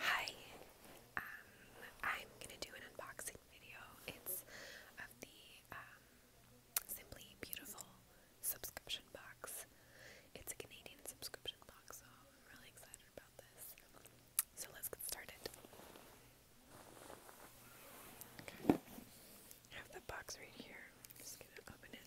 Hi, um, I'm gonna do an unboxing video. It's of the um, Simply Beautiful subscription box. It's a Canadian subscription box, so I'm really excited about this. So let's get started. I have the box right here. just gonna open it.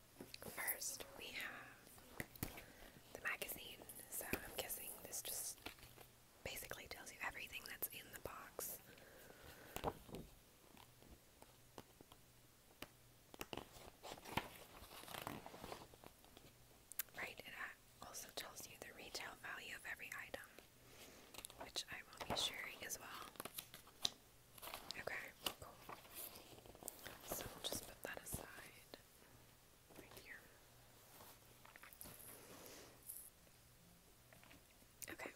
First, we have the magazine. So I'm guessing this just basically tells you everything that's in the box. Right, it also tells you the retail value of every item, which I will be sharing as well. Okay, cool. So we'll just put that aside right here. Okay,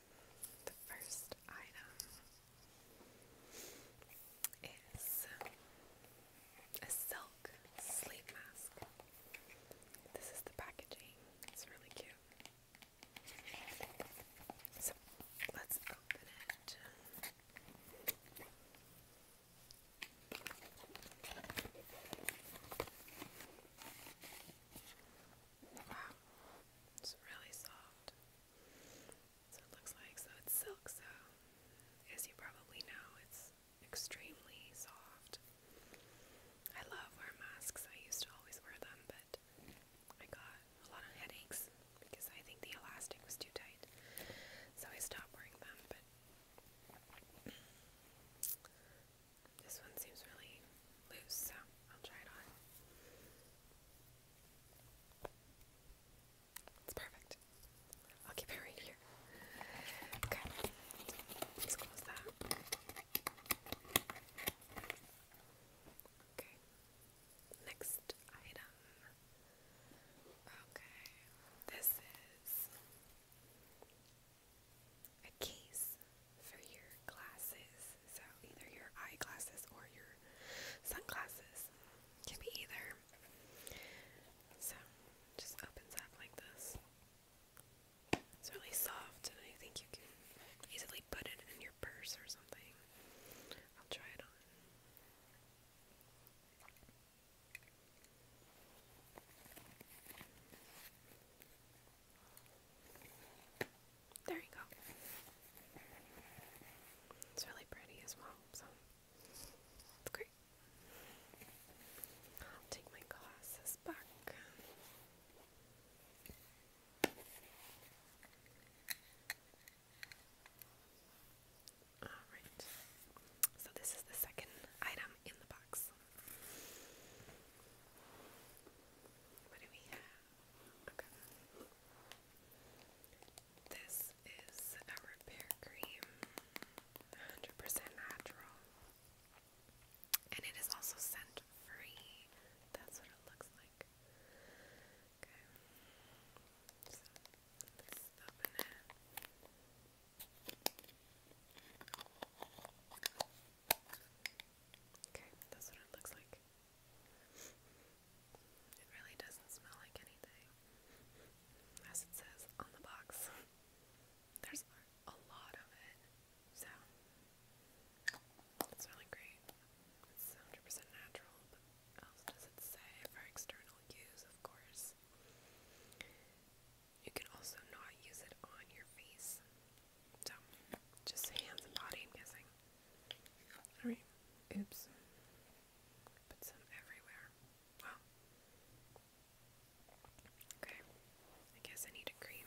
the first item is a silk sleep mask. This is the packaging, it's really cute. So let's open it. Wow, it's really soft. So it looks like so it's silk. So, as you probably know, it's extremely soft. I love wear masks. I used to always wear them, but I got a lot of headaches because I think the elastic was too tight. So I stopped wearing them, but this one seems really loose, so I'll try it on. It's perfect. I'll keep it right here. Okay, let's close that. Okay, Next item. Okay, this is a case for your glasses. So either your eyeglasses or your sunglasses. Can be either. So just opens up like this. It's really soft, and I think you can easily put it in purse or something. I'll try it on. There you go. It's really pretty as well, so it's great. I'll take my glasses back. Alright, so this is the second item in the box. What do we have? Okay. This is a repair cream, 100% natural. And it is also scent free. That's what it looks like like. Okay. Okay, that's what it looks like. It really doesn't smell like anything. As it says on the box. There's a lot of it. So it's really great. It's 100% natural, else does it say for external use, of course. You can also not use it on your face. So, just hands and body, I'm guessing. oops. Put some everywhere. Wow. Okay, I guess I need a cream.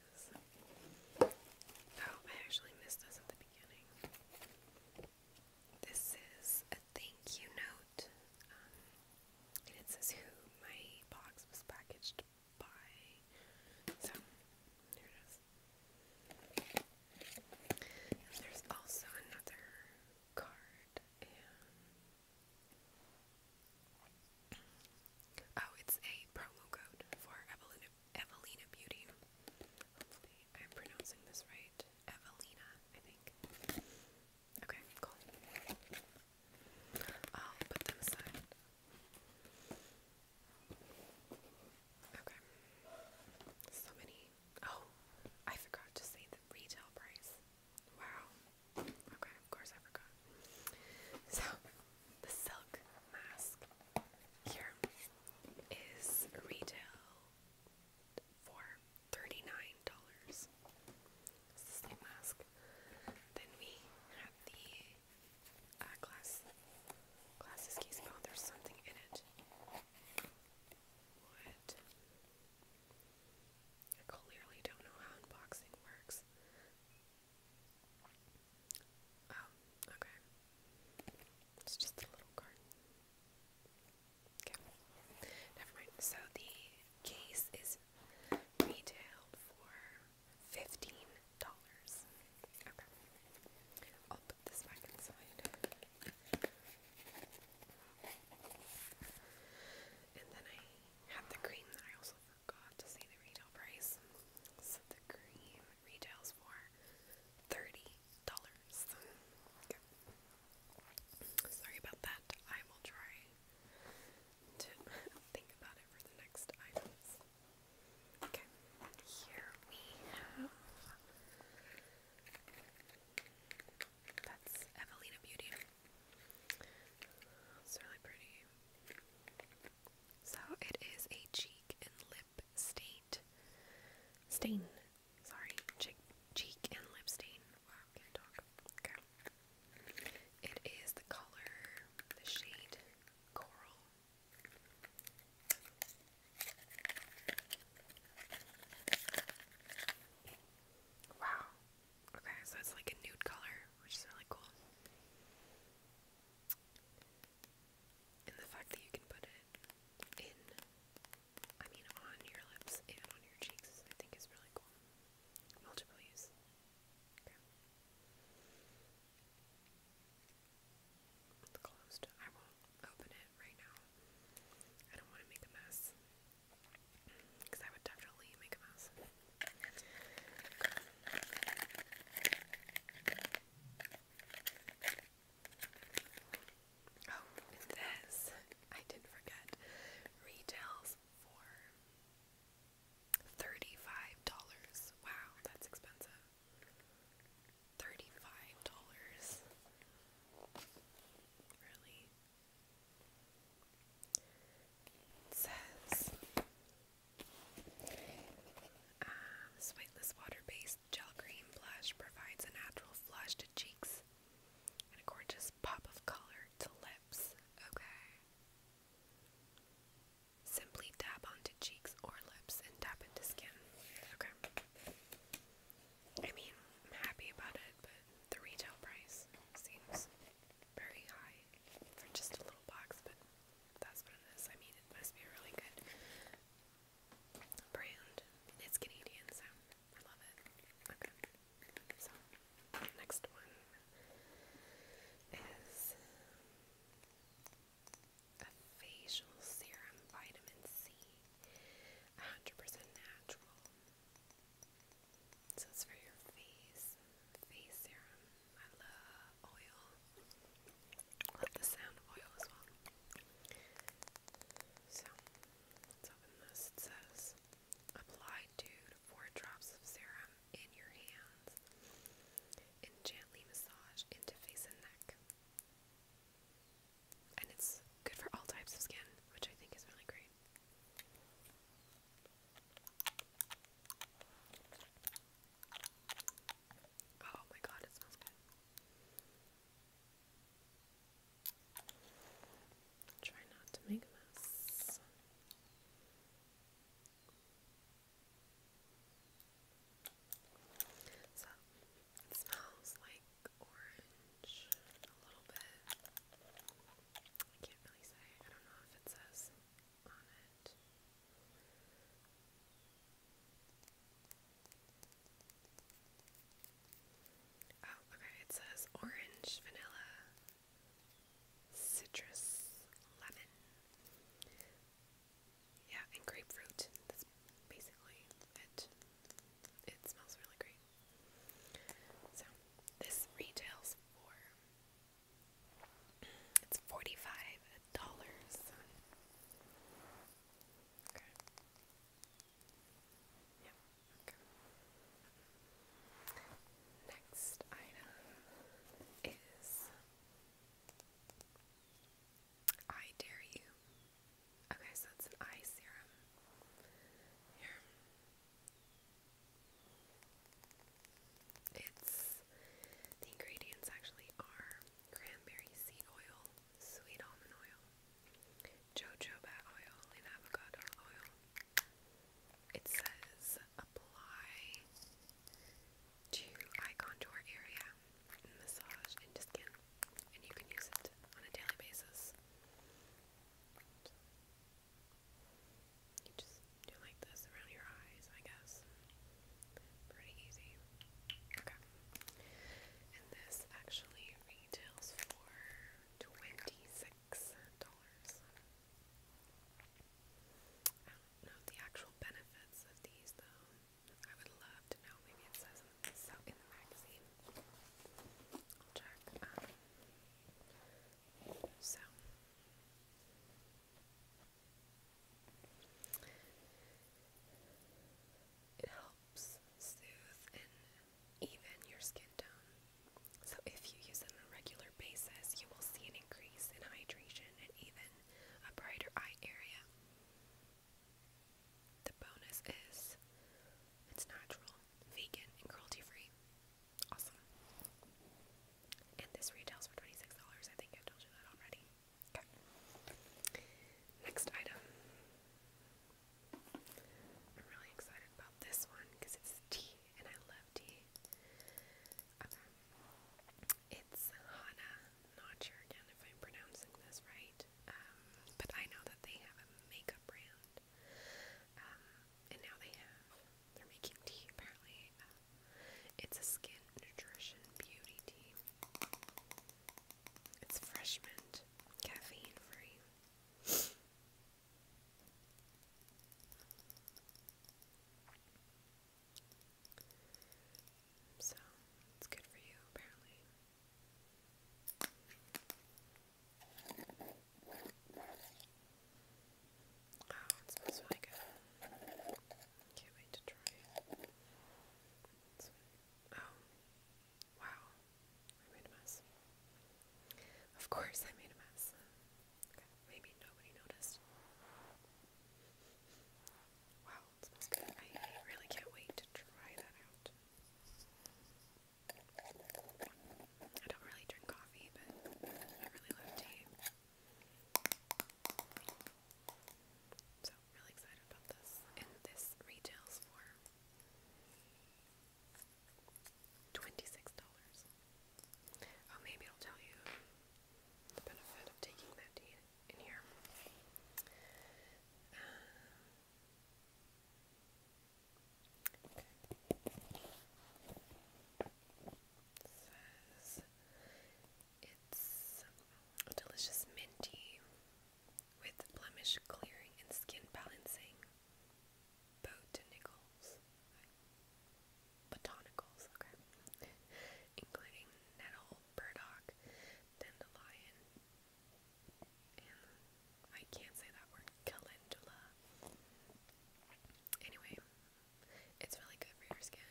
Oh, I actually missed this at the beginning. This is a thank you note. Um, and it says who my box was packaged by. So, here it is. there's also another card Oh, it's a promo code for Evelina, Beauty. I'm pronouncing this right. Evelina, I think. Okay, cool. I'll put them aside. Okay. So many. Oh, I forgot to say the retail price. Wow. Okay. Of course, I forgot. So, the silk mask here is retail for $39. It's the mask. Then we have the uh, glass. Glasses case. Oh, there's something in it. I clearly don't know how unboxing works. Oh, okay. It's just a little card. Okay. Never mind. So the case is retailed for fifteen dollars. Okay. I'll put this back inside. And then I had the cream that I also forgot to say the retail price. the cream retails for thirty dollars. Sorry about that. I will try to think about it for the next items. Okay. Here we have that's Evelina Beauty. It's really pretty. So it is a cheek and lip stain. Stain. Sorry. Cheek, cheek and lip stain. Wow, It is the color, the shade coral. Wow, Okay, so it's like a nude color, which is really cool. And the fact that you can put it in, I mean, on your lips and on your cheeks, I think is really cool. Multiple use. It's closed. I won't open it right now. I don't want to make a mess. Because I would definitely make a mess. Oh, this. I did forget. Retails for $35. Wow, that's expensive. $35. Really? says um, sweetless water based gel cream blush provides a natural flush to cheeks and a gorgeous pop of color to lips. Okay. Simply dab onto cheeks or lips and dab into skin. Okay. I mean, I'm happy about it, but the retail price seems very high for just a little box, but that's what it is. I mean, it must be a really good brand. It's Canadian, so I love it. Okay. So, next one is um, a facial serum vitamin C. 100% natural. So for your face, face serum. I love oil. Love the sound of oil as well. So let's open this. It says apply two to four drops of serum in your hands and gently massage into face and neck. And it's good for all types of skin, which I think is really great. Oh my god, it smells good. Try not to make a mess. So, smells like orange a little bit. I can't really say. I don't know if it says on it. Oh, okay. It says orange, vanilla, citrus, lemon. Yeah, and grapefruit. That's basically it. It smells really great. So this retails for it's forty five dollars. Okay. Yep. Okay. Next item is I Dare You Okay, so it's an eye serum. Here. It's the ingredients actually are cranberry seed oil, sweet almond oil, jojoba oil, and avocado oil. It says apply to eye contour area and massage into and you can use it on a daily basis. You just do like this around your eyes, I guess. Pretty easy. Okay. And this actually retails for $26. I don't know the actual benefits of these though. I would love to know. Maybe it says so in the magazine, I'll check. Um, so it helps soothe and even your skin tone. So if you use it on a regular basis, you will see an increase in hydration and even a brighter eye area. The bonus is it's natural, vegan, and cruelty free. Awesome. And this retails for $26. I think I told you that already. Okay. Next item. I'm really excited about this one because it's tea and I love tea. Okay. Um, it's Hana Notcher again if I'm pronouncing this right. Um, but I know that they have a makeup brand, um, and now they have, they're tea apparently. Uh, it's a skin nutrition beauty tea. It's fresh mint, caffeine free. So, it's good for you, apparently. Wow, oh, it smells really good. Can't wait to try it. oh, wow. I made a mess. Of course, I made a mess. Okay, maybe nobody noticed. Wow, it smells good. I really can't wait try that out. I don't really drink coffee, but I really love tea. So, really excited about this. And this retails for $26. Oh, maybe it'll tell you the benefit of taking that tea in here. Um, it's delicious minty with blemish clearing and skin balancing. Botanicals. Including nettle, burdock, dandelion, and I can't say that word, calendula. Anyway, it's really good for your skin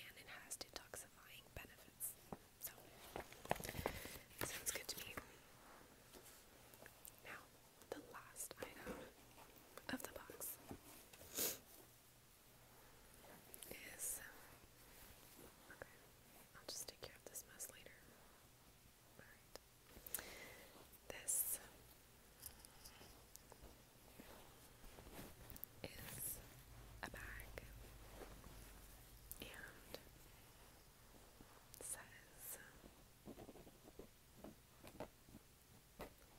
and it has detoxifying benefits. So, sounds good to me. Now, the last item of the box is. Um, okay, I'll just take care of this mess later. This is a bag and says um,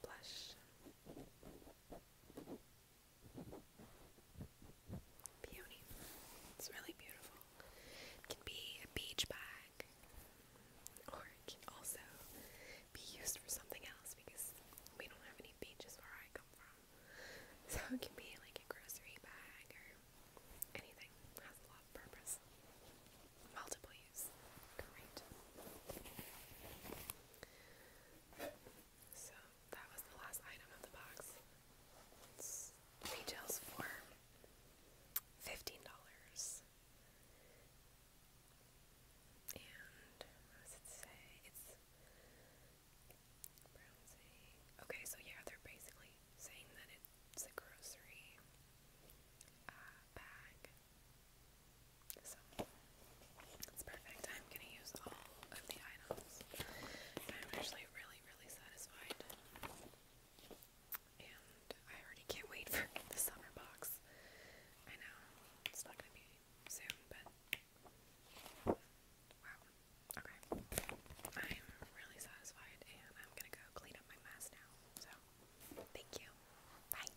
blush. Beauty. It's really beautiful. It can be a beach bag, or it can also be used for something else because we don't have any beaches where I come from. So it can be like a grocery bag or anything. has a lot of purpose. Multiple use. Great. So that was the last item of the box. It's for fifteen dollars. And what does say? It's browsing. Okay, so yeah, they're basically saying that it's a grocery uh, bag. So it's perfect. I'm gonna use all of the items. I'm actually really, really satisfied. And I already can't wait for the summer box. I know it's not gonna be soon, but wow. Okay. I'm really satisfied and I'm gonna go clean up my mess now. So thank you. Bye.